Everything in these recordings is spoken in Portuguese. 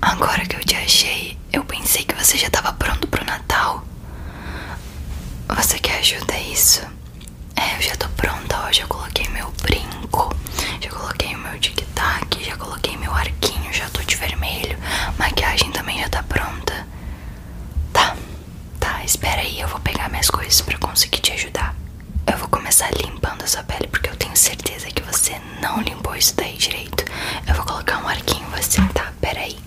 Agora que eu te achei, eu pensei que você já estava pronto pro Natal. Você quer ajuda é isso? É, eu já tô pronta, ó. Já coloquei meu brinco, já coloquei meu tic-tac, já coloquei meu arquinho, já tô de vermelho. Maquiagem também já tá pronta. Tá, tá, espera aí, eu vou pegar minhas coisas pra conseguir te ajudar eu vou começar limpando a sua pele porque eu tenho certeza que você não limpou isso daí direito. Eu vou colocar um arquinho em você, tá? Peraí.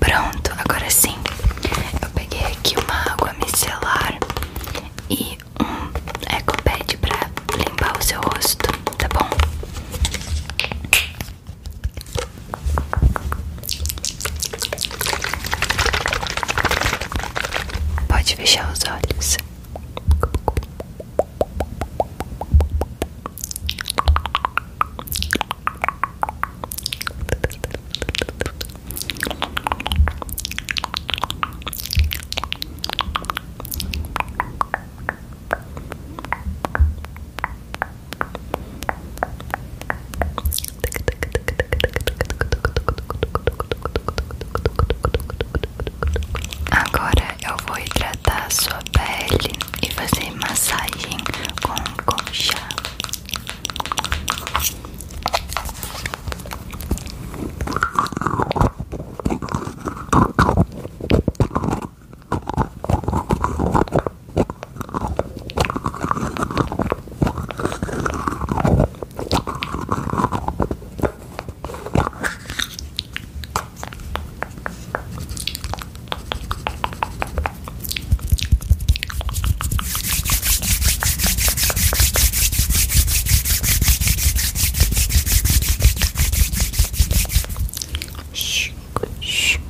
Pronto, agora sim. Eu peguei aqui uma água micelar e um eco pad pra limpar o seu rosto, tá bom? Pode fechar os olhos. Relaxa. Agora eu vou hidratar a sua pele e fazer massagem com concha. シュッシュ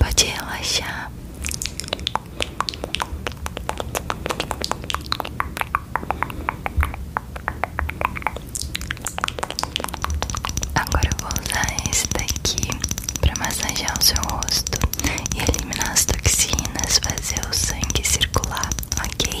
Pode relaxar. Agora eu vou usar esse daqui para massagear o seu rosto e eliminar as toxinas, fazer o sangue circular, ok?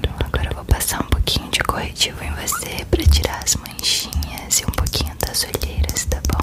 Então agora eu vou passar um pouquinho de corretivo em você para tirar as manchinhas e um pouquinho das olheiras, tá bom?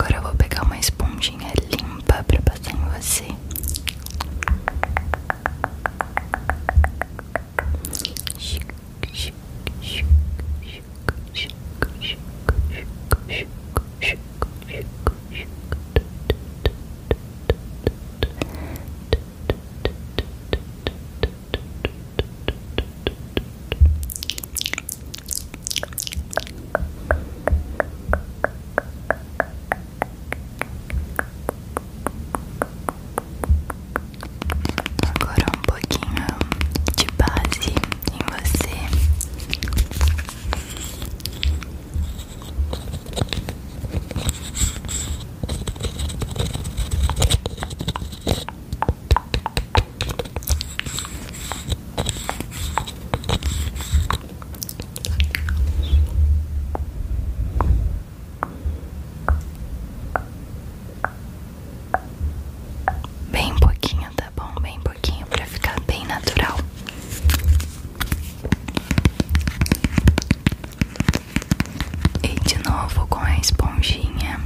Agora eu vou pegar uma esponjinha limpa pra passar em você. Tic, tic, tic, tic, tic, tic, tic, tic, tic, tic, tic, tic, tic, Agora um pouquinho de base em você. Bem pouquinho, tá bom? Bem pouquinho pra ficar bem natural. E de novo com a esponjinha.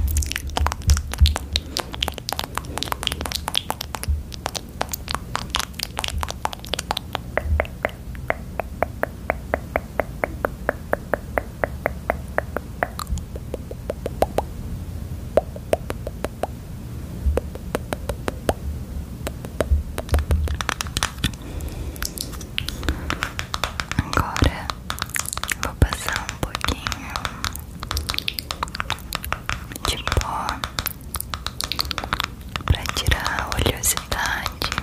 Agora vou passar um pouquinho de pó para tirar a oleosidade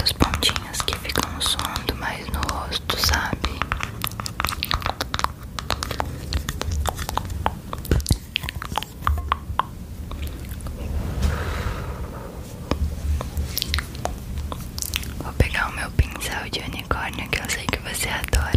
dos pontinhos que ficam somando mais no rosto, sabe? Vou pegar o meu pincel de unicórnio que eu sei que você adora.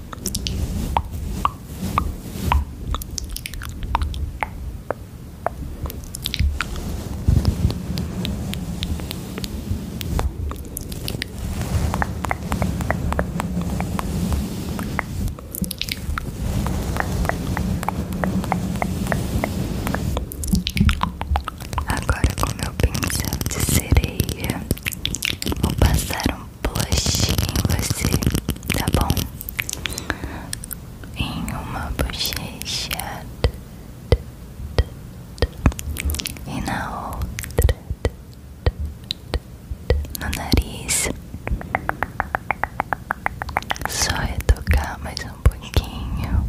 Agora, com meu pincel de sereia, vou passar um blush em você, tá bom? Em uma bochecha e na outra no nariz. Só é tocar mais um pouquinho.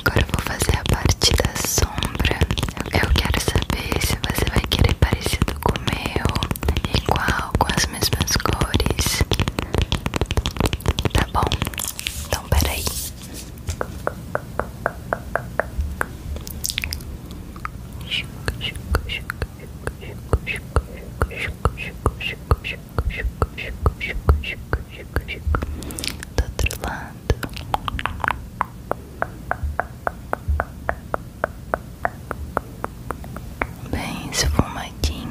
Agora vou fazer a parte da sombra. Eu quero saber se você vai querer parecido com o meu, igual, com as mesmas cores. Tá bom? Então, peraí. Do outro lado. Bem esfumadinho.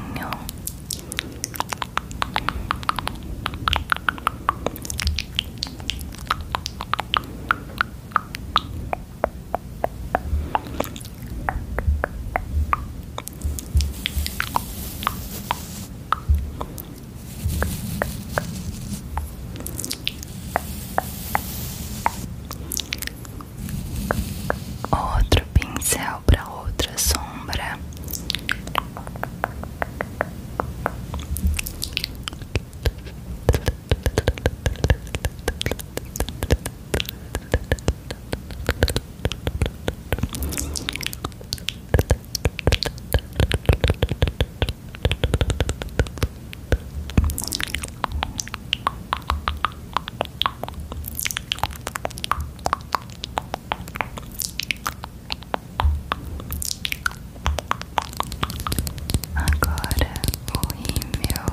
Outro pincel para outra sombra. Agora o rímel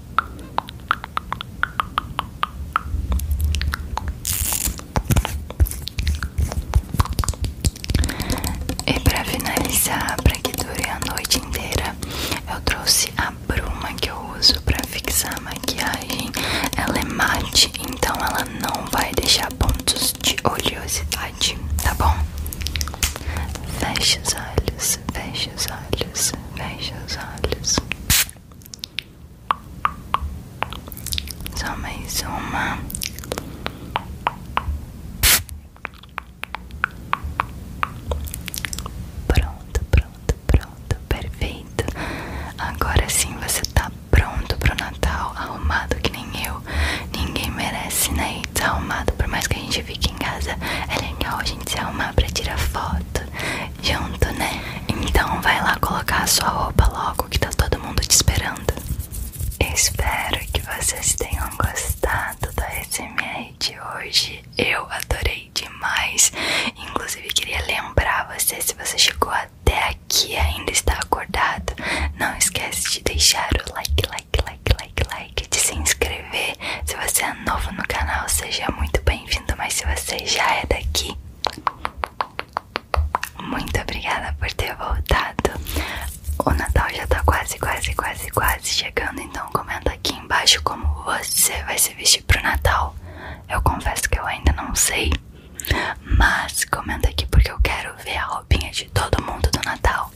E pra finalizar, pra que dure a noite inteira, eu trouxe a bruma que eu uso pra fixar a maquiagem. Ela é mate, então ela não vai deixar pontos de oleosidade, tá bom? Feche os olhos, feche os olhos, feche os olhos. Só mais uma. Pronto, pronto, pronto, perfeito. Agora sim você tá pronto pro Natal, arrumado que nem eu. Ninguém merece, né? arrumado, por mais que a gente fique em casa. É legal a gente se arrumar pra tirar foto, junto, né? Então vai lá colocar a sua roupa logo que tá todo mundo te esperando. Espero que vocês tenham gostado da SMR de hoje. Eu adorei demais. Inclusive queria lembrar você se você chegou até aqui e ainda está acordado, não esquece de deixar o like, like, like, like, like, de se inscrever. Se você é novo no canal, seja muito bem-vindo mas se você já é daqui, muito obrigada por ter voltado. O Natal já tá quase, quase, quase, quase chegando, então comenta aqui embaixo como você vai se vestir pro Natal. Eu confesso que eu ainda não sei, mas comenta aqui porque eu quero ver a roupinha de todo mundo do Natal.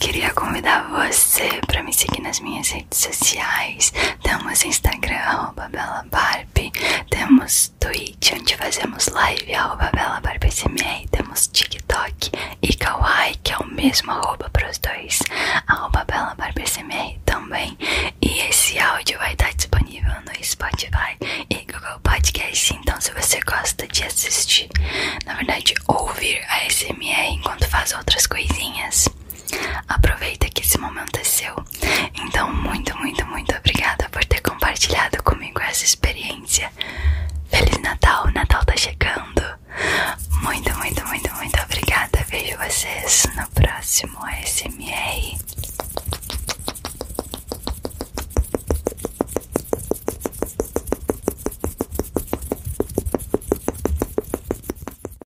Queria convidar você para me seguir nas minhas redes redes sociais, temos Instagram, arroba BelaBarb, temos Twitch, onde fazemos live, arroba BelaBarbSMR, temos TikTok e Kawaii, que é o mesmo arroba pros dois, arroba BelaBarbSMR também. E esse áudio vai estar disponível no Spotify e Google Podcast, então se você gosta de assistir, na verdade ouvir a SMR enquanto faz outras coisinhas, Aproveita que esse momento é seu. Então, muito, muito, muito obrigada por ter compartilhado comigo essa experiência. Feliz Natal, o Natal tá chegando. Muito, muito, muito, muito obrigada. Vejo vocês no próximo SMR.